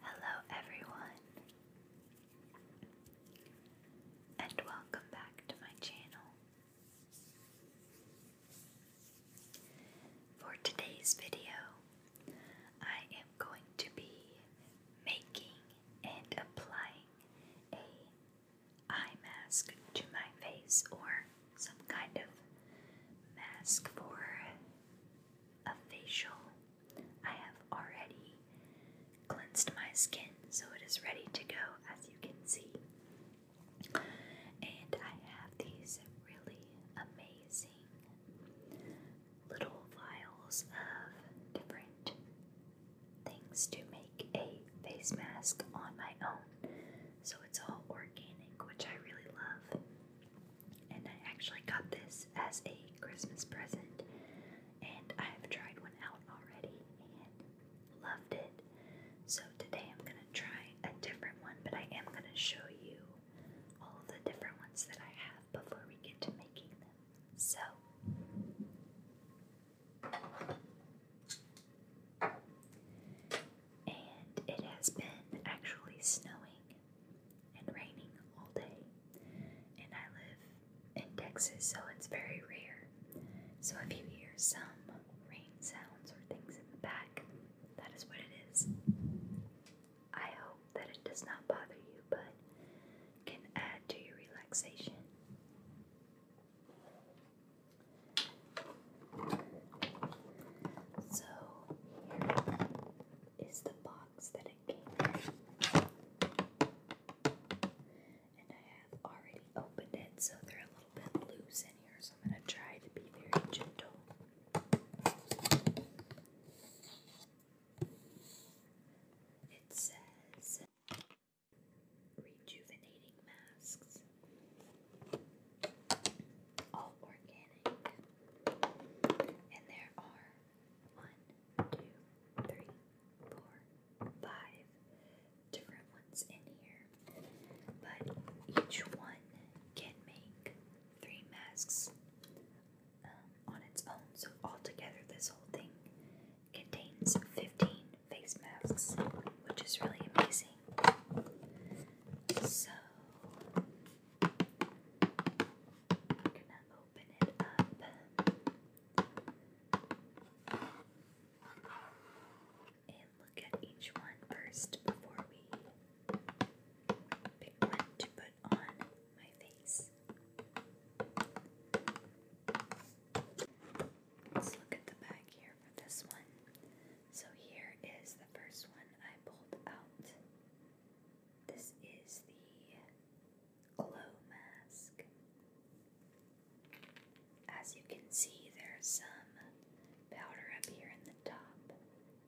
Hello, everyone, and welcome back to my channel. For today's video, I am going to be making and applying a eye mask to my face or some kind of mask for a facial. I have already cleansed my skin so it is ready to go, as you can see. And I have these really amazing little vials of different things to make a face mask on my own. So it's all organic, which I really love. And I actually got this as a Christmas present, and I have tried one out already and loved it. So today I'm going to try a different one, but I am going to show you all of the different ones that I have before we get to making them. So and it has been actually snowing and raining all day. And I live in Texas, so it's very rare. So if you hear some rain sounds or things in the back, that is what it is. I hope that it does not bother you, but can add to your relaxation. So here is the box that it came in. And I have already opened it, so they're a little bit loose in here, so I'm going to try to be very gentle. It says rejuvenating masks all organic. And there are one, two, three, four, five different ones in here. But each one can make three masks um, on its own. So, altogether, this whole thing contains 15 face masks, which is really amazing. So I'm gonna open it up and look at each one first before we pick one to put on my face. Let's look at the back here for this one. So here is the first one I pulled out. This is the glow mask. As you can see, there's some powder up here in the top,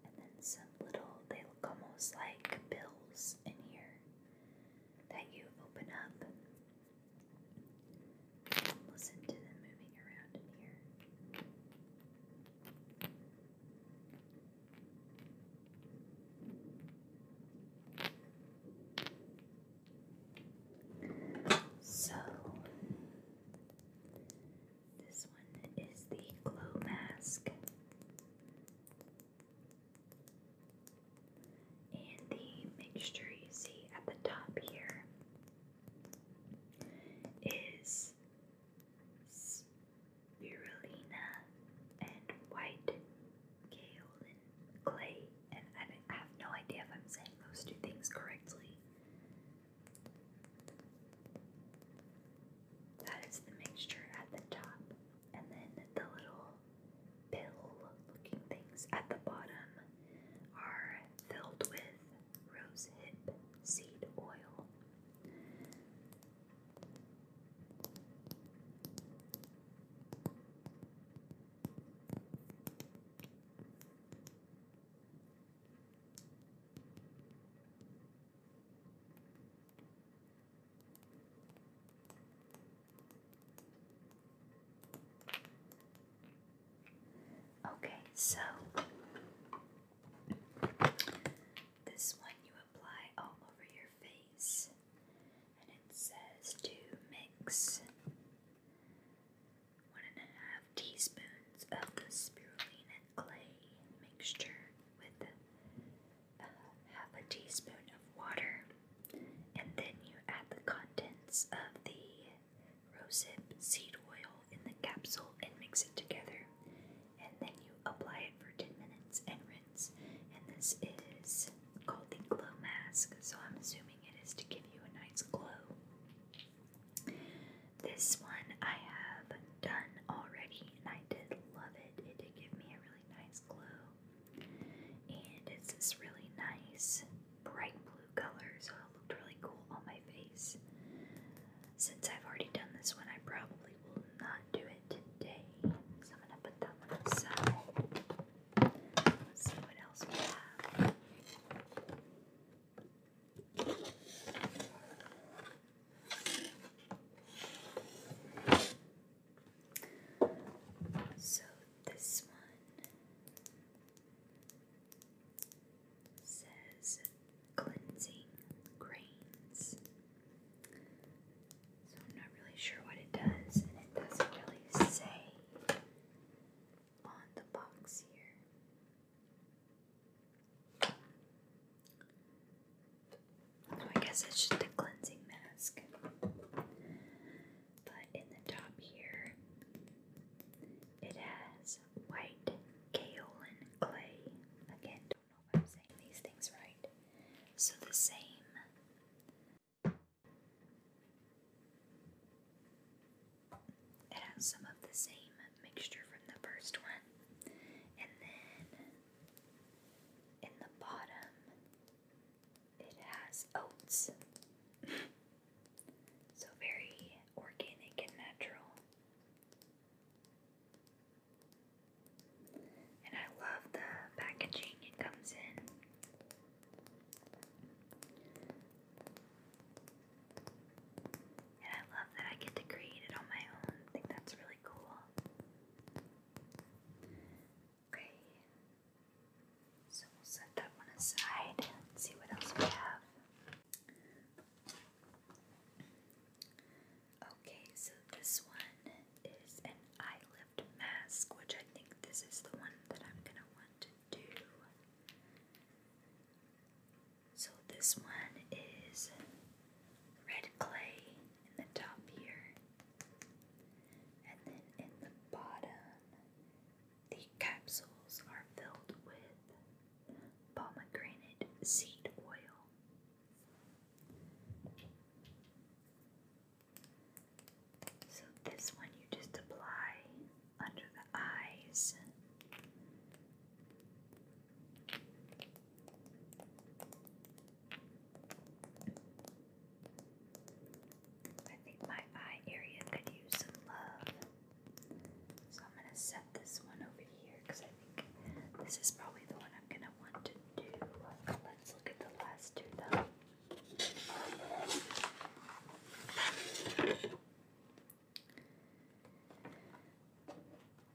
and then some little, they look almost like pills in here that you open up. Listen to them moving around in here. So, this one is the glow mask and the mixture you see at the top here is spirulina, and white kaolin clay. And I have no idea if I'm saying those two things correctly. That is the mixture at the top, and then the little pill looking things at the bottom are filled with rosehip seed oil. Okay, so this one you apply all over your face, and it says to mix one and a half teaspoons of the spirulina clay mixture with uh, half a teaspoon of water, and then you add the contents of the rosehip seed oil in the capsule and mix it together. And then you apply it for 10 minutes and rinse. And this is called the glow mask, so I'm assuming it is to give you a nice glow. This one I have done already and I did love it. It did give me a really nice glow. And it's this really nice bright blue color, so it looked really cool on my face. Since I've already done this one, I probably will not do it today. So I'm going to put that one aside. Let's see what else we have. So this one says cleansing grains. So I'm not really sure what it does, and it doesn't really say on the box here. So I guess it's just a cleansing mask. But in the top here, it has white kaolin clay. Again, don't know if I'm saying these things right. So the same it has some of the same mixture from the first one. And then in the bottom it has oats. so very organic and natural. And I love the packaging it comes in. And I love that I get to create it on my own. I think that's really cool. Okay. So we'll set that one aside and see what else we have. Okay, so this one is an eye lift mask, which I think this is the one that I'm gonna want to do. So this one is red clay in the top here, and then in the bottom, the capsules are filled with pomegranate seed oil. So, this one you just apply under the eyes. I think my eye area could use some love. So I'm going to set this one over here because I think this is probably the one I'm going to want to do. Let's look at the last two though.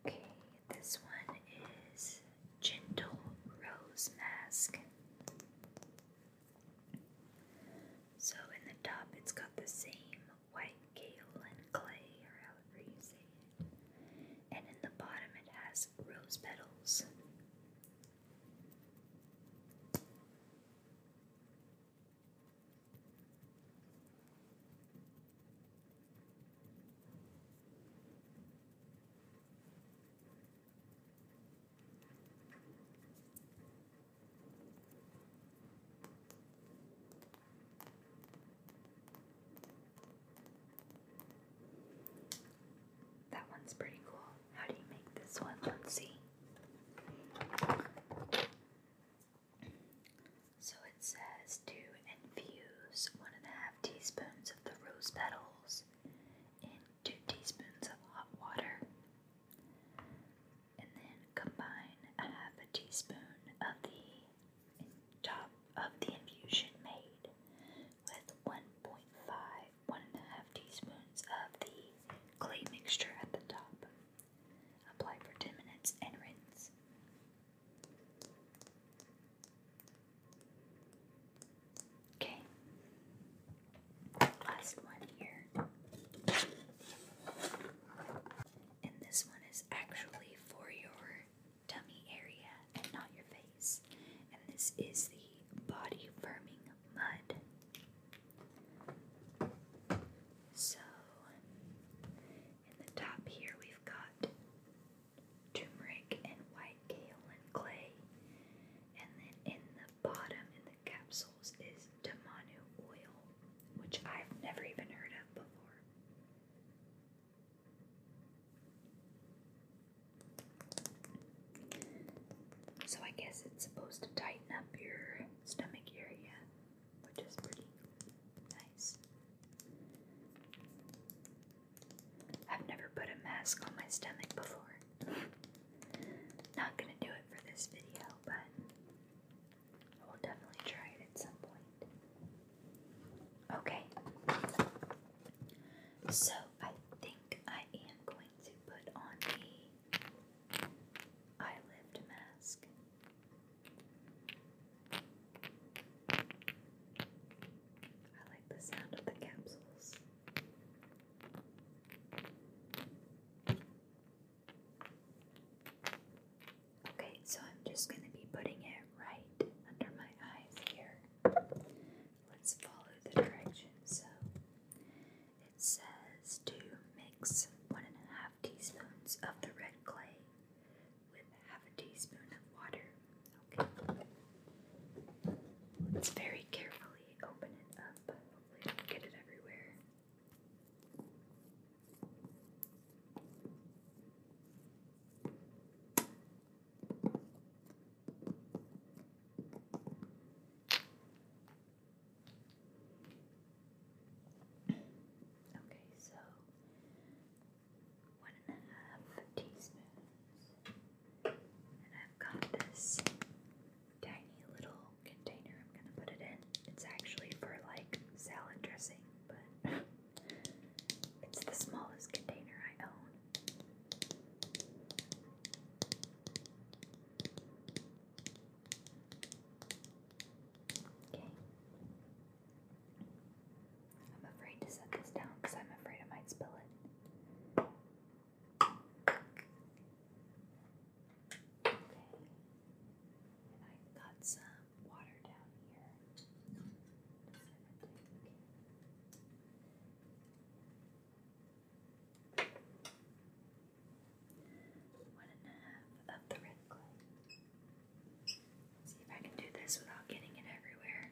Okay, this one is Gentle Rose Mask. So in the top, it's got the same white and clay, or however you say it. And in the bottom, it has rose petals. That one's pretty cool. How do you make this one? Let's see. So it says to infuse one and a half teaspoons of the rose petals in two teaspoons of hot water and then combine a half a teaspoon of the top of the infusion made with 1.5 1 teaspoons of the clay mixture at the top. Apply for 10 minutes and rinse. Okay. Last one here and this one is actually for your tummy area and not your face. And this is the body firming mud. So, in the top here, we've got turmeric and white kaolin clay, and then in the bottom, in the capsules, is Tamanu oil, which I've never even heard of before. So I guess it's supposed to tighten up your stomach area, which is pretty nice. I've never put a mask on my stomach before. Not gonna do it for this video, but I will definitely try it at some point. Okay. So I think I am going to put on the eye mask. I like the sound of the capsules. Okay, so I'm just going to be putting it right under my eyes here. Let's follow the directions. So it says to mix one and a half teaspoons of the red clay with half a teaspoon of water. Okay. Let's very carefully open it up. Hopefully, I do get it everywhere. Okay, so one and a half teaspoons, and I've got this tiny little container I'm gonna put it in. It's actually for like salad dressing, but it's the smallest container I own. Okay. I'm afraid to set this down because I'm afraid I might spill it. Okay. And I've got some water down here. One and a half of the red clay. see if I can do this without getting it everywhere.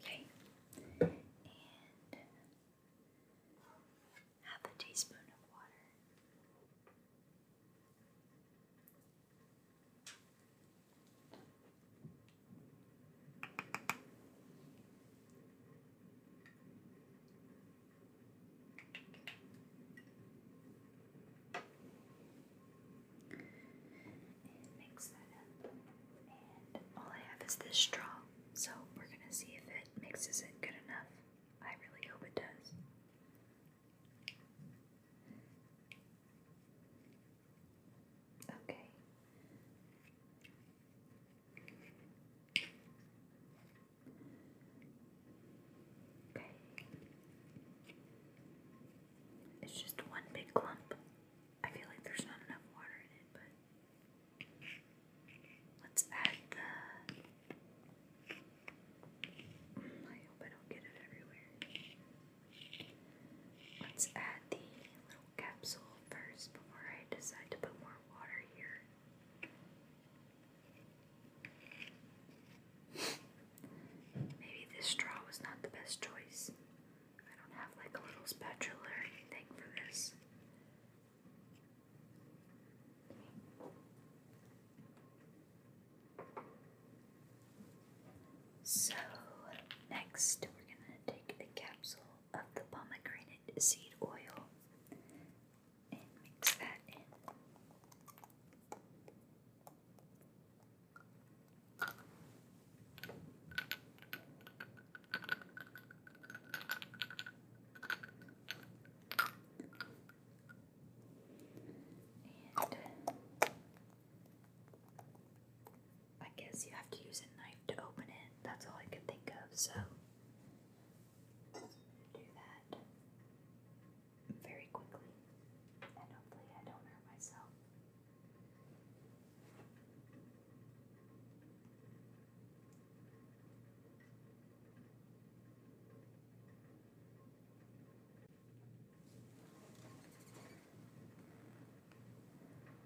Okay. Okay. And half a teaspoon of water. And mix that up. And all I have is this straw, so we're going to see if it mixes it good enough. I really hope it does. Okay. Okay. It's just one big clump. I feel like there's not enough water in it, but let's add the. I hope I don't get it everywhere. Let's add the little capsule first before I decide to put more water here. Maybe this straw was not the best choice. I don't have like a little spatula or anything for this. So, next we're going to take a capsule of the pomegranate seed oil and mix that in. And I guess you have to use a knife to open it. That's all I could think of, so do that very quickly. And hopefully I don't hurt myself.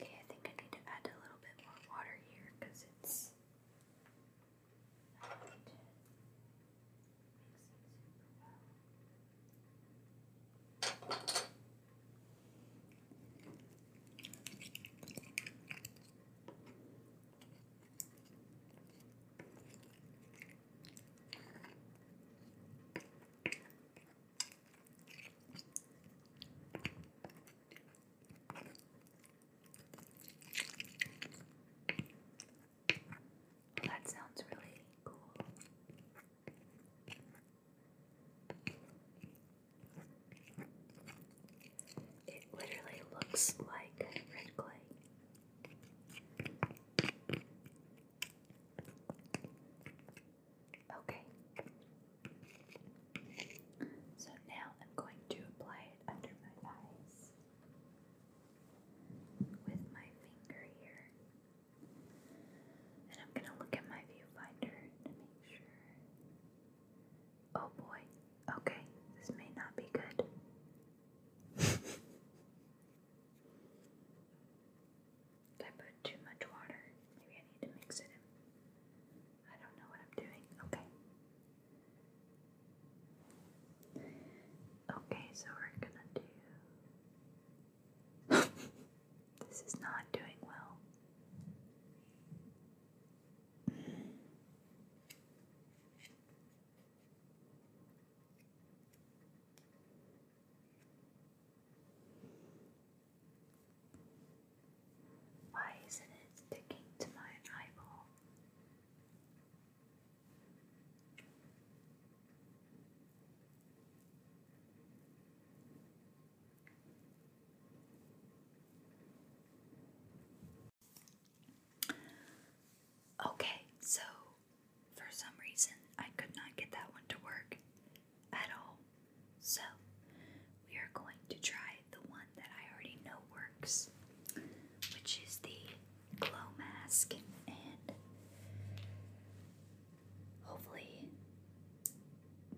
Okay, I think I need to add a little bit more water here because it's that sounds really cool. It literally looks like red clay. Okay. So now I'm going to apply it under my eyes with my finger here. And I'm going to look at my viewfinder to make sure. Oh boy. Okay, this may not be good. I put too much water? Maybe I need to mix it I don't know what I'm doing. Okay. Okay, so we're gonna do. this is not doing well. Why isn't it sticking to my eyeball? Okay, so for some reason I could not get that one to work at all. So we are going to try the one that I already know works, which is the glow mask, and hopefully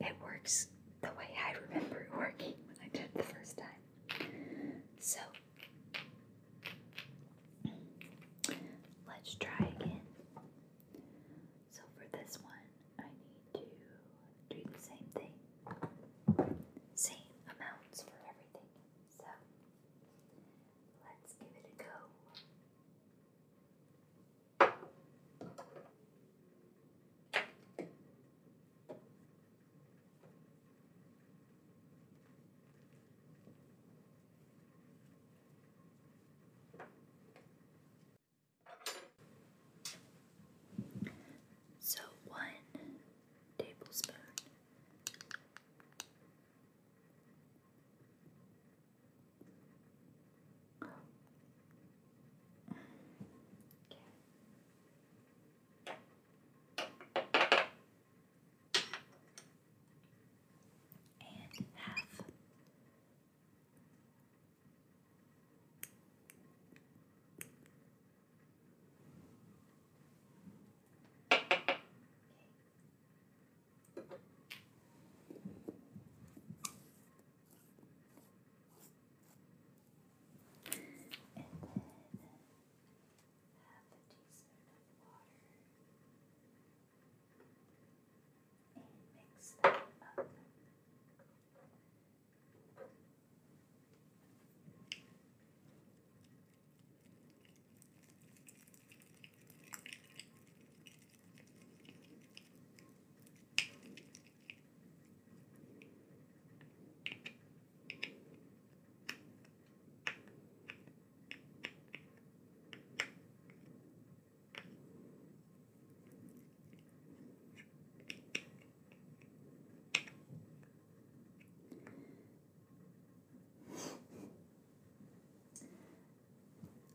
it works the way I remember it working when I did the first time. So Let's try again. So for this one, I need to do the same thing. Same amounts for everything. So let's give it a go. So, one tablespoon okay and half. Okay. And then half a teaspoon of water and mix them up.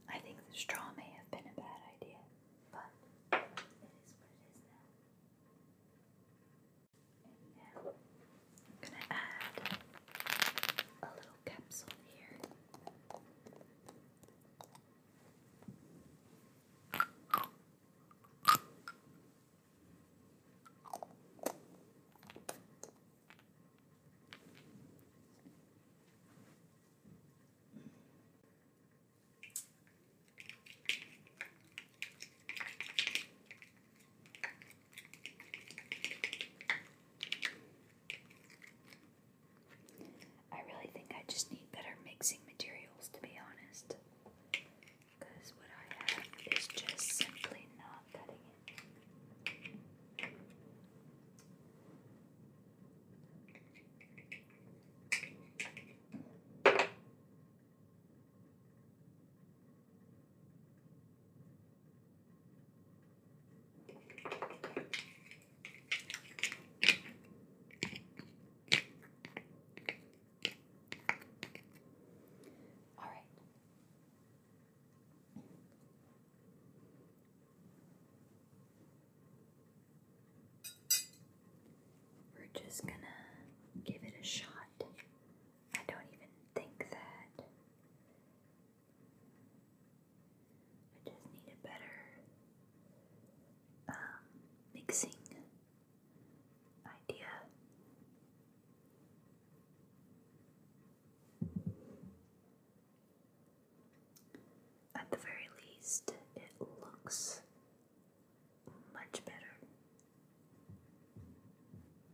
I think the straw may have been a bad idea, but it is what it is now. I'm going to add a little capsule here. I really think I just need better mixing materials to be honest. Because what I have is just simply not cutting it. All right. We're just gonna give it a shot I don't even think that. I just need a better um, mixing idea. At the very least, it looks much better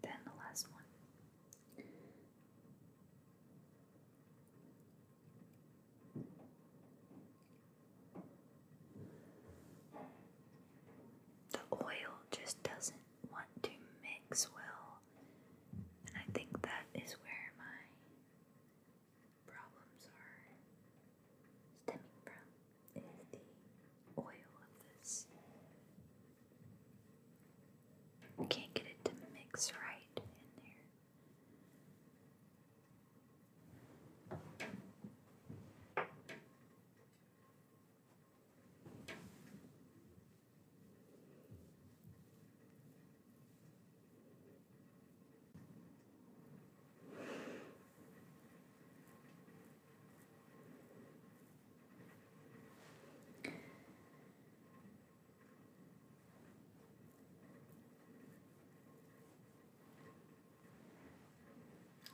than the last one. The oil just doesn't want to mix well, and I think that is where my problems are stemming from is the oil of this. can't get it to mix right in there.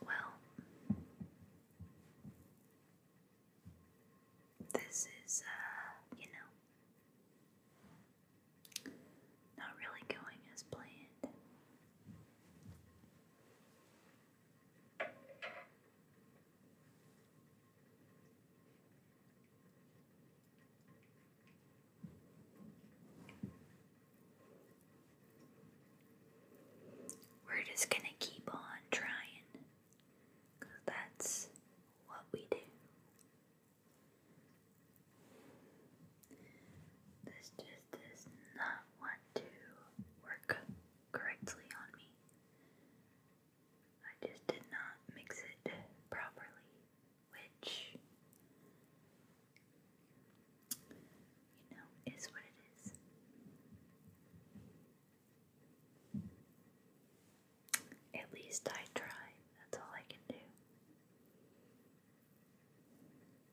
Well, this is, uh, you know, not really going as planned. We're just going to keep on trying that's what we do. This just does not want to work correctly on me. I just did not mix it properly, which, you know, is what it is. At least I try, that's all I can do.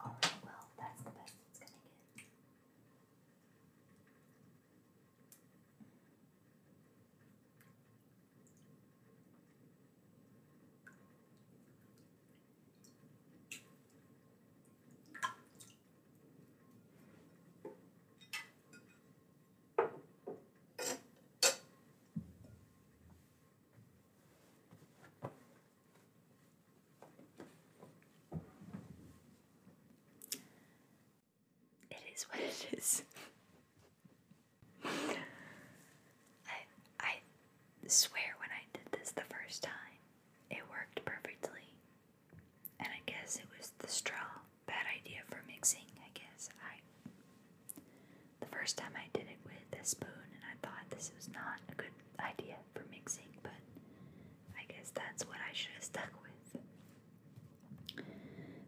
Alright, well, that's the best it's gonna get. It is what it is. I I swear when I did this the first time, it worked perfectly. And I guess it was the straw bad idea for mixing, I guess. I the first time I did it with a spoon and I thought this was not a good idea for mixing, but I guess that's what I should have stuck with.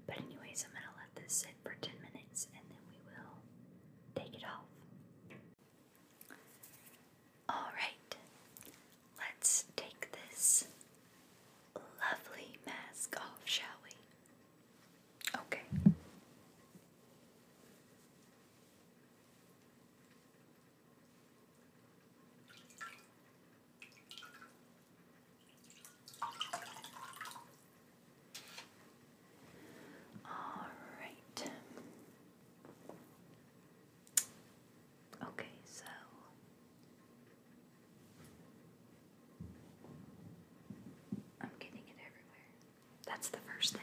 But anyways, I'm gonna let this sit for 10 minutes and then we will take it off. Alright, let's take this lovely mask off, shall we? Okay. All right. Okay, so I'm getting it everywhere. That's the first thing.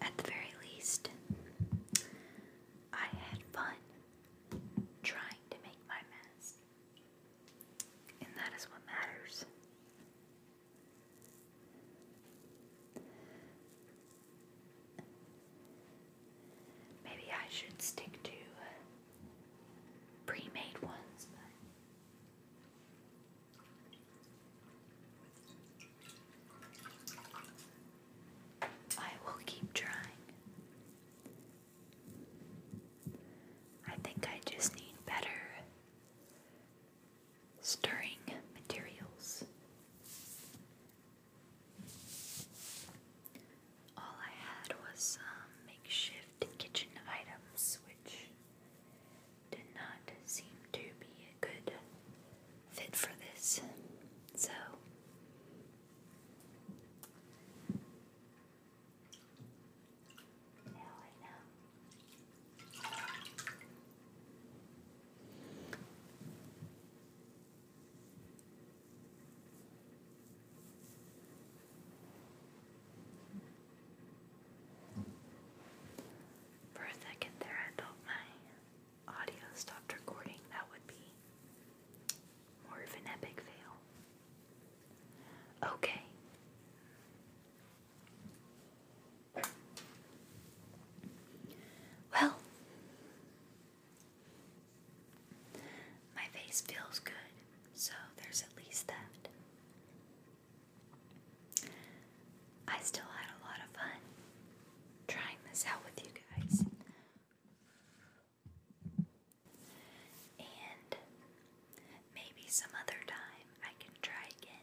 At the very least, I had fun trying to make my mess, and that is what matters. Maybe I should stick to uh, pre made ones, but. I will keep trying. I think I just need better stirring materials. All I had was some um, makeshift kitchen items, which did not seem to be a good fit for this, so for a second there, I thought my audio stopped recording. That would be more of an epic fail. Okay. Well, my face feels good, so there's at least that. I still had a lot of fun trying this out with you guys. And maybe some other time I can try again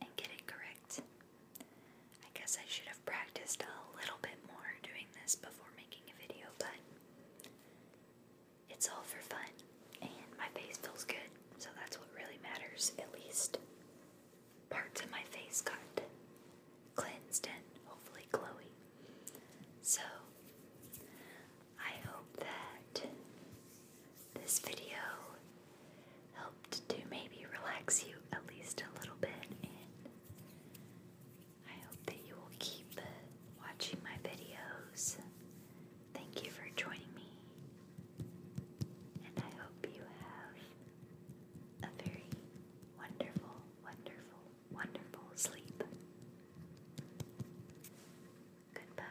and get it correct. I guess I should have practiced a little bit more doing this before making a video, but it's all for fun and my face feels good, so that's what really matters, at least. Parts of my face got cleansed and hopefully glowy. So I hope that this video helped to maybe relax you at least a little bit, and I hope that you will keep watching my videos. Thank you for joining me, and I hope you have a very wonderful, wonderful, wonderful sleep. Goodbye.